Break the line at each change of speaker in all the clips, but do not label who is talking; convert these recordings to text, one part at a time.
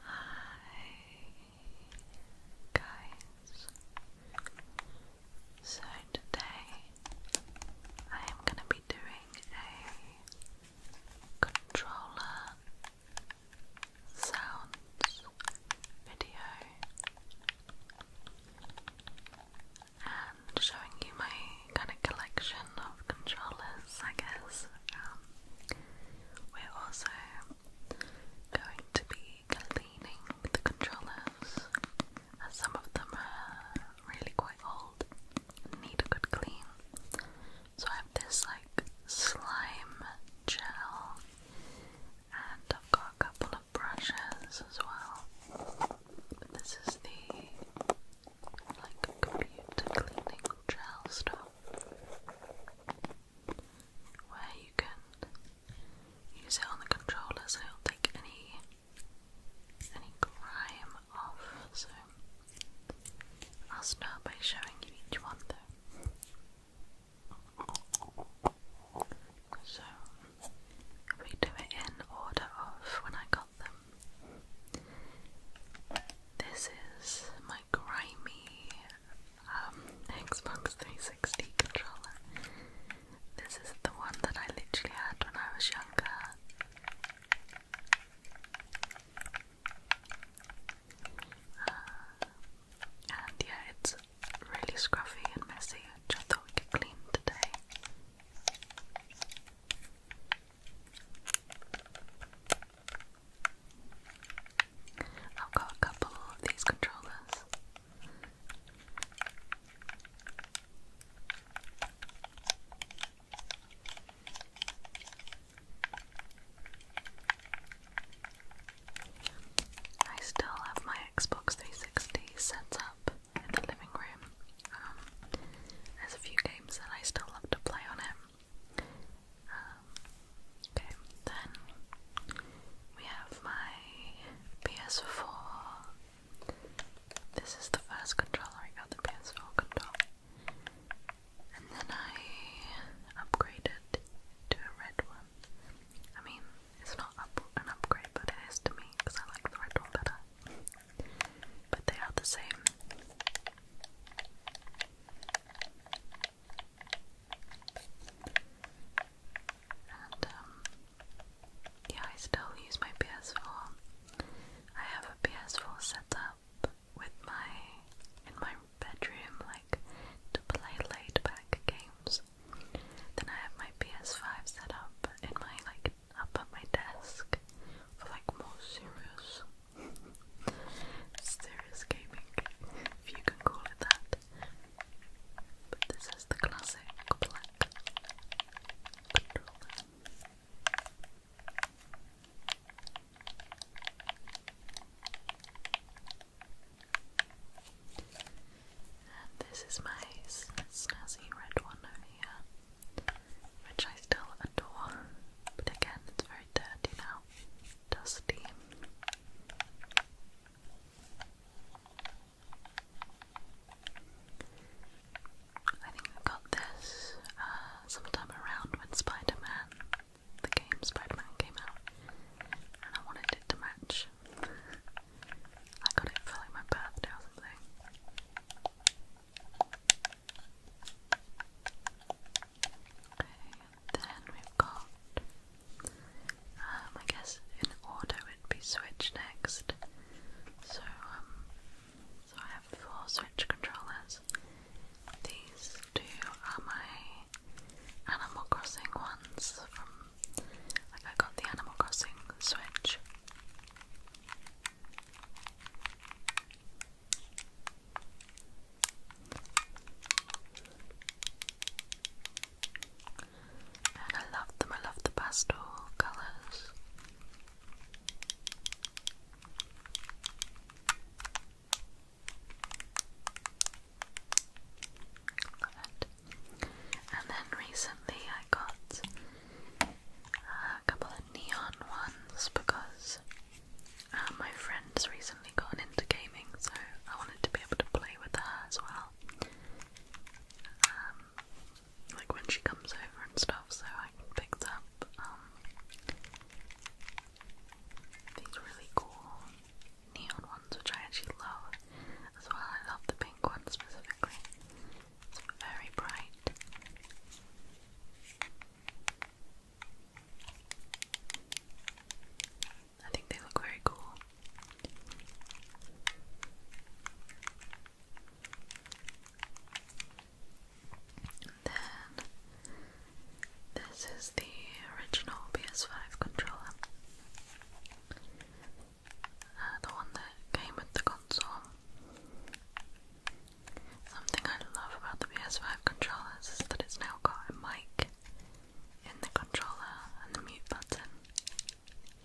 Hi guys. So today I am going to be doing a controller sounds video and showing you my kind of collection of controllers, I guess. Um, we're also going to be cleaning the controllers as some of them are really quite old need a good clean. So I have this like slime gel and I've got a couple of brushes as well. this is the like computer cleaning gel stuff where you can use it on the controller so it'll take any any grime off. So I'll start by showing you each one though. So we do it in order of when I got them. This is my grimy um, Xbox 360 controller. This is the one that I literally had when I was younger. Uh, and yeah, it's really scruffy and messy, which thought we could clean today. I've got a couple of these controllers. I still have my Xbox 360 set up in the living room. Um, there's a few games that I still love to play on it. Um, okay, then we have my PS4. This is the first controller I got, the PS4 controller. And then I upgraded to a red one. I mean, it's not an upgrade, but it is to me because I like the red one better. But they are the same. Um, yeah, I still use my PS4. I have a PS4 set up with my in my bedroom like to play laid back games. Then I have my PS5 set up in my like up at my desk for like more serious Serious gaming, if you can call it that. But this is the classic black controller. And this is my snazzy red one over here, which I still adore, but again, it's very dirty now dusty. I think I got this uh, sometime around when Spider-Man, the game Spider-Man came out, and I wanted it to match. I got it for like my birthday or something then we've got, um, I in order would be Switch next. So, um, so I have four Switch controllers. These two are my Animal Crossing ones like I got the Animal Crossing Switch. And I love them, I love the pastel colours. Love it. And then recently I got uh, a couple of neon ones because uh, my friend's recently gotten into gaming, so I wanted to be able to play with her as well. Um, like when she comes over and stuff, so I picked up um, these really cool neon ones, which I actually love as well. I love the pink one specifically, it's very bright. I think they look very cool. then this is the original PS5 controller. Uh, the one that came with the console. Something I love about the PS5 controllers is that it's now got a mic in the controller and the mute button.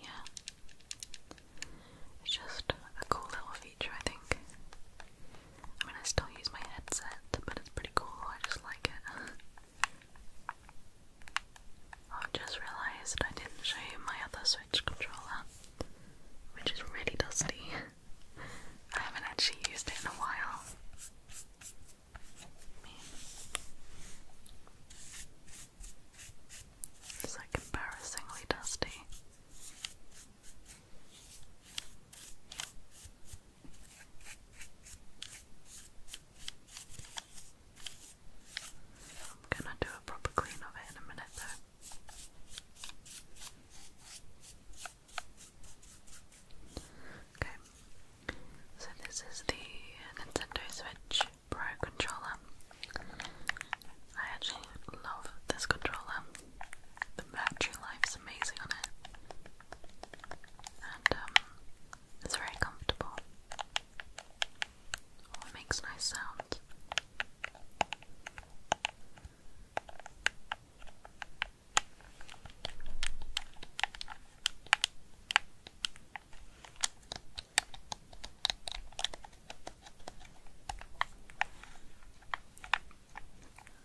Yeah. It's just a cool little feature, I think. I mean, I still use my headset, but it's pretty cool. I just like it. I've just realised I just realized i did not show you my other Switch controller, which is really dusty. I haven't actually used it in a while. It's like embarrassingly dusty. I'm gonna do a proper clean of it in a minute though. Okay, so this is the Nintendo Switch Pro controller. I actually love this controller. The battery life is amazing on it, and um, it's very comfortable. Oh, makes nice sounds.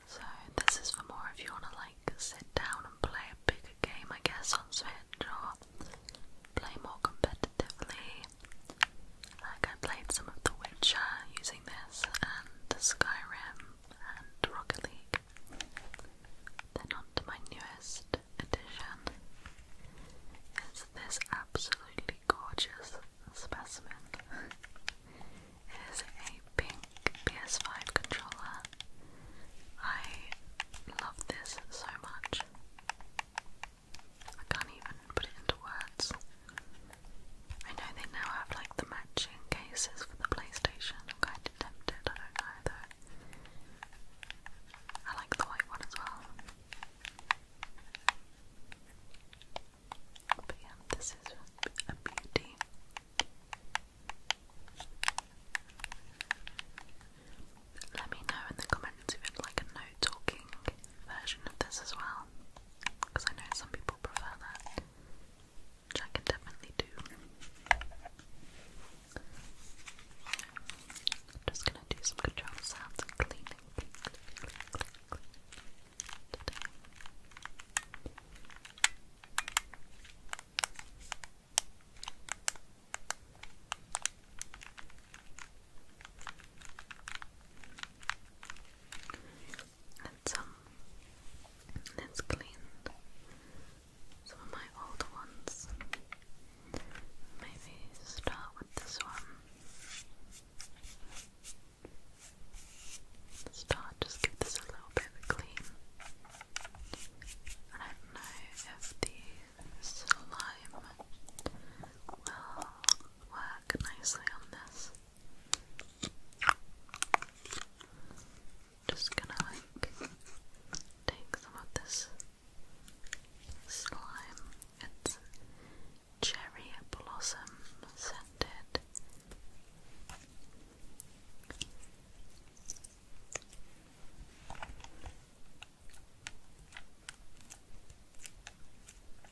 So, this is for more if you want to like sit down and play a bigger game, I guess, on Switch or play more competitively. Like I played some of The Witcher using this and Skyrim and Rocket League. Then on to my newest addition. It's this absolutely gorgeous specimen. Is a pink PS5 controller. I love this so much. I can't even put it into words. I know they now have like the matching cases for the PlayStation. I'm kind of tempted, I don't know I like the white one as well. But yeah, this is a beauty. Let me know in the comments if you'd like a no talking version of this as well because I know some people prefer that, which I can definitely do. just gonna do some control sounds and cleaning and some um, let's clean some of my old ones. Maybe start with this one. Start just give this a little bit of a clean. I know if the slime will work nicely on this. Just gonna like take some this slime. It's cherry blossom scented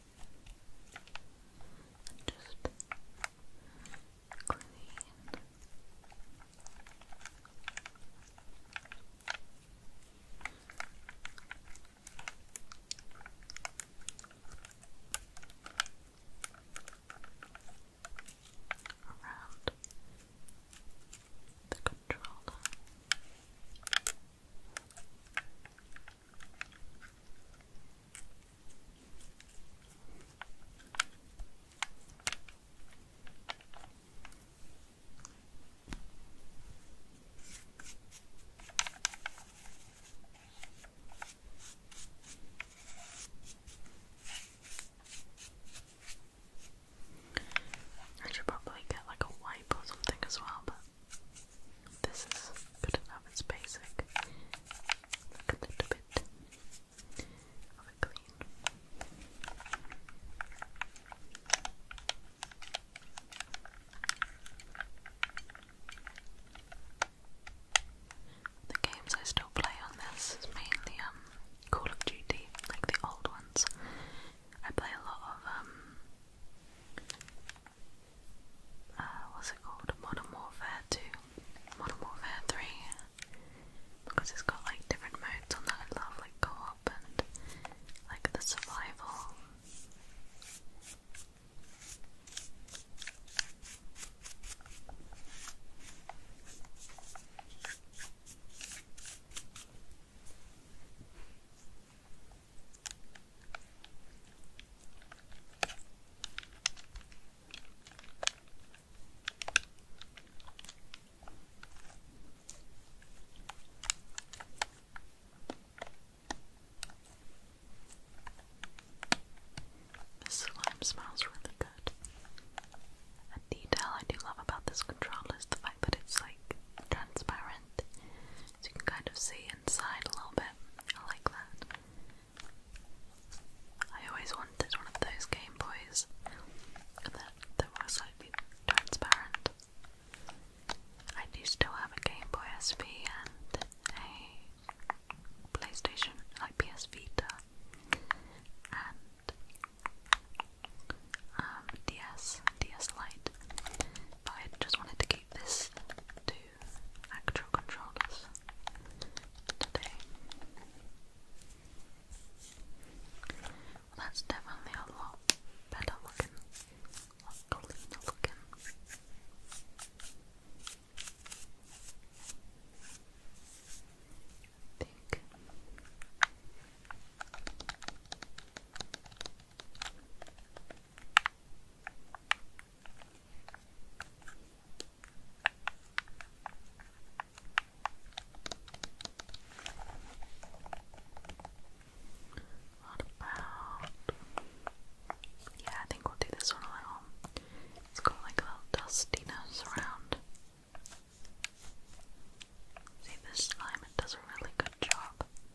and just clean. Around the controller. I should probably get like a wipe or something as well, but this is good enough, it's basic. a little bit of a clean. The games I still play on this mainly um Call of Duty, like the old ones. I play a lot of um uh, what's it called? Modern Warfare 2, Modern Warfare 3, because it's got like different modes on that I love, like co op and like the survival. This slime smells really good. A detail I do love about this controller is the fact that it's like transparent so you can kind of see inside a little bit. I like that. I always wanted one of those Game Boys that, that slightly transparent. I do still have a Game Boy SV and a PlayStation, like PS Vita, and um, DS, DS Lite. But I just wanted to keep this to actual controllers today. Well, that's definitely a lot better looking, cleaner looking. I think. What about? Yeah, I think we'll do this one a It's got like a little dustiness around. See, this slime, it does a really good job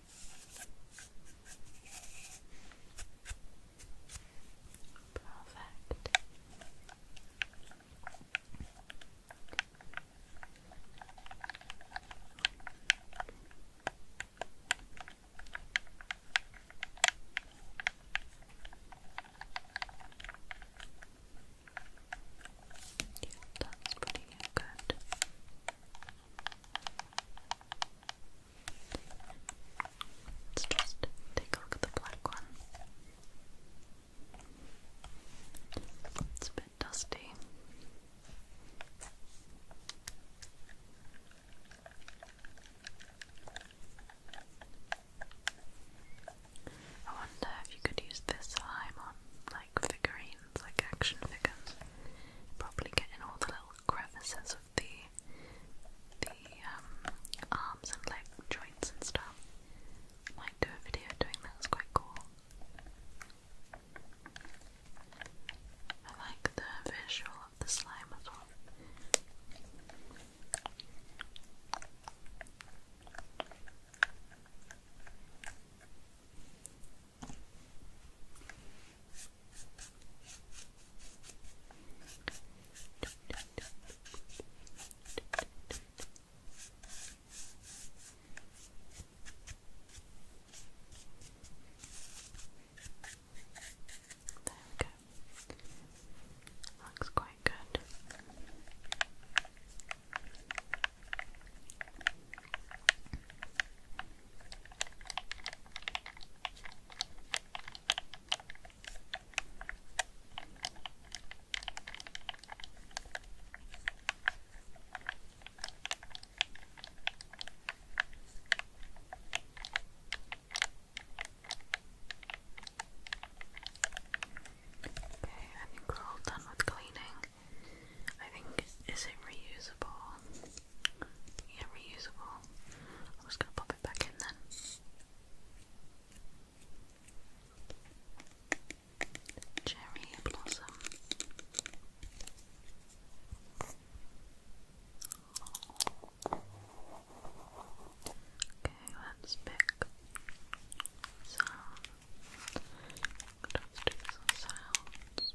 Perfect. Yeah, that's pretty good. Let's just take a look at the black one. It's a bit dusty. I wonder if you could use this slime on like figurines, like action figures. Probably getting all the little crevices of the the um, arms and leg joints and stuff. Might do a video doing that. It's quite cool. I like the visual of the slime as well. There we go. Looks quite good. Okay, I think we're all done with cleaning. I think is it reusable? Yeah, reusable. I'm just gonna pop it back in then. Cherry blossom. Okay, let's pick some sounds.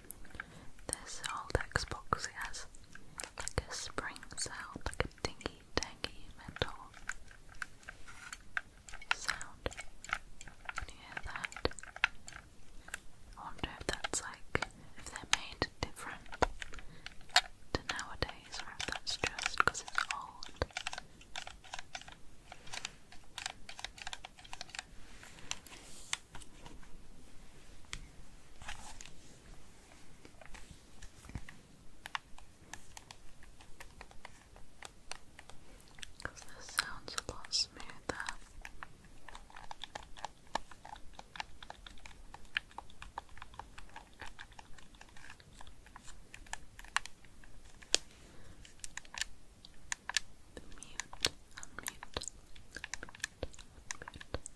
This old Xbox has like a spring sound, like a dingy tangy metal sound. Can you hear that? I wonder if that's like if they're made different to nowadays or if that's just because it's old. Because this sounds a lot smoother. mute, unmute, unmute.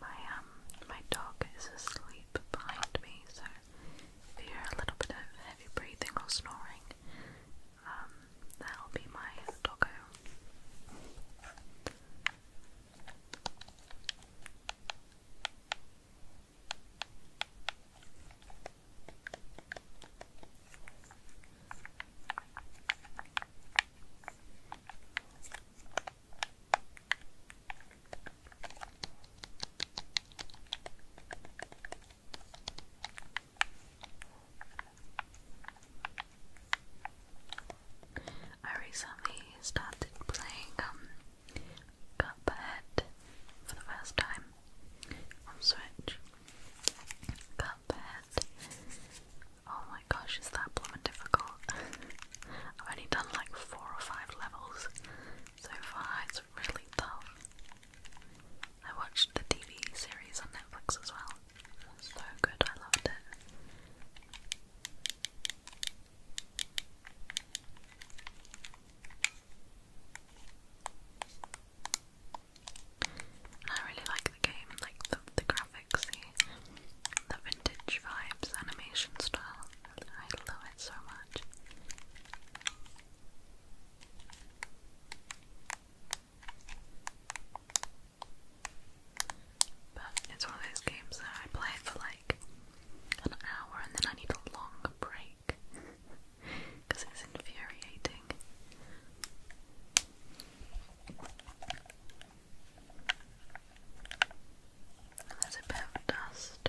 My um my dog is asleep behind me, so if you hear a little bit of heavy breathing or snoring, um that'll be my doggo. I recently started playing um, Cuphead for the first time on Switch. Cuphead Oh my gosh, is that blooming difficult? I've only done like four or five levels so far, it's really tough. I watched the TV series on Netflix as well. So good, I loved it. I really like the game, like the, graphics, the vintage vibes, animation style. I love it so much. But it's one of those games that I play for like an hour and then I need a long break because it's infuriating. There's a bit of dust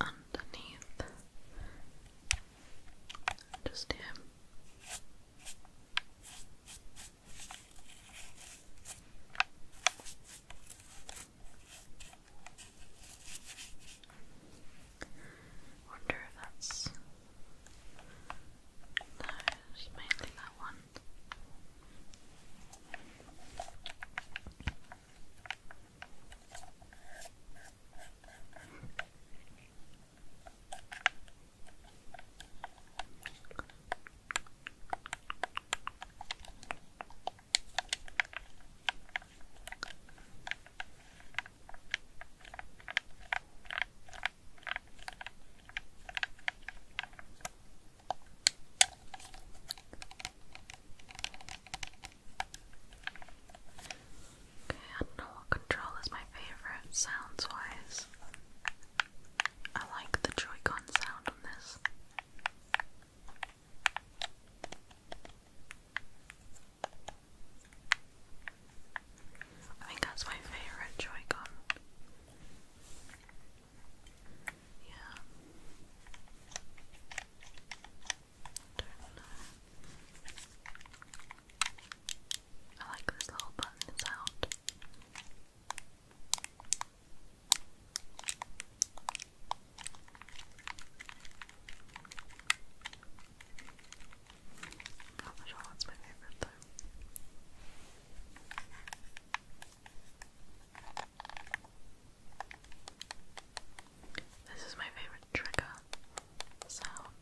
underneath. Just here. Wonder if that's mainly that one. Okay, I control is my favourite sounds wise. I like the Joy-Con sound on this. I think that's my favourite Yeah. I like this little button, it's not the Charlotte's my favorite though. This is my favorite trigger sound.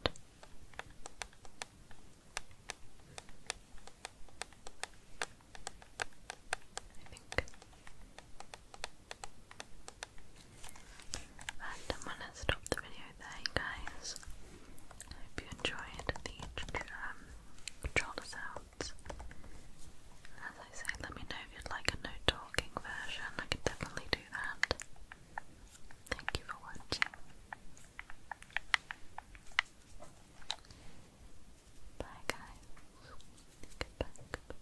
I think Right, I'm gonna stop the video there, you guys. I hope you enjoyed the um, sounds. As I say, let me know if you'd like a no talking version. I could definitely do that. Thank you for watching. Bye, guys. goodbye.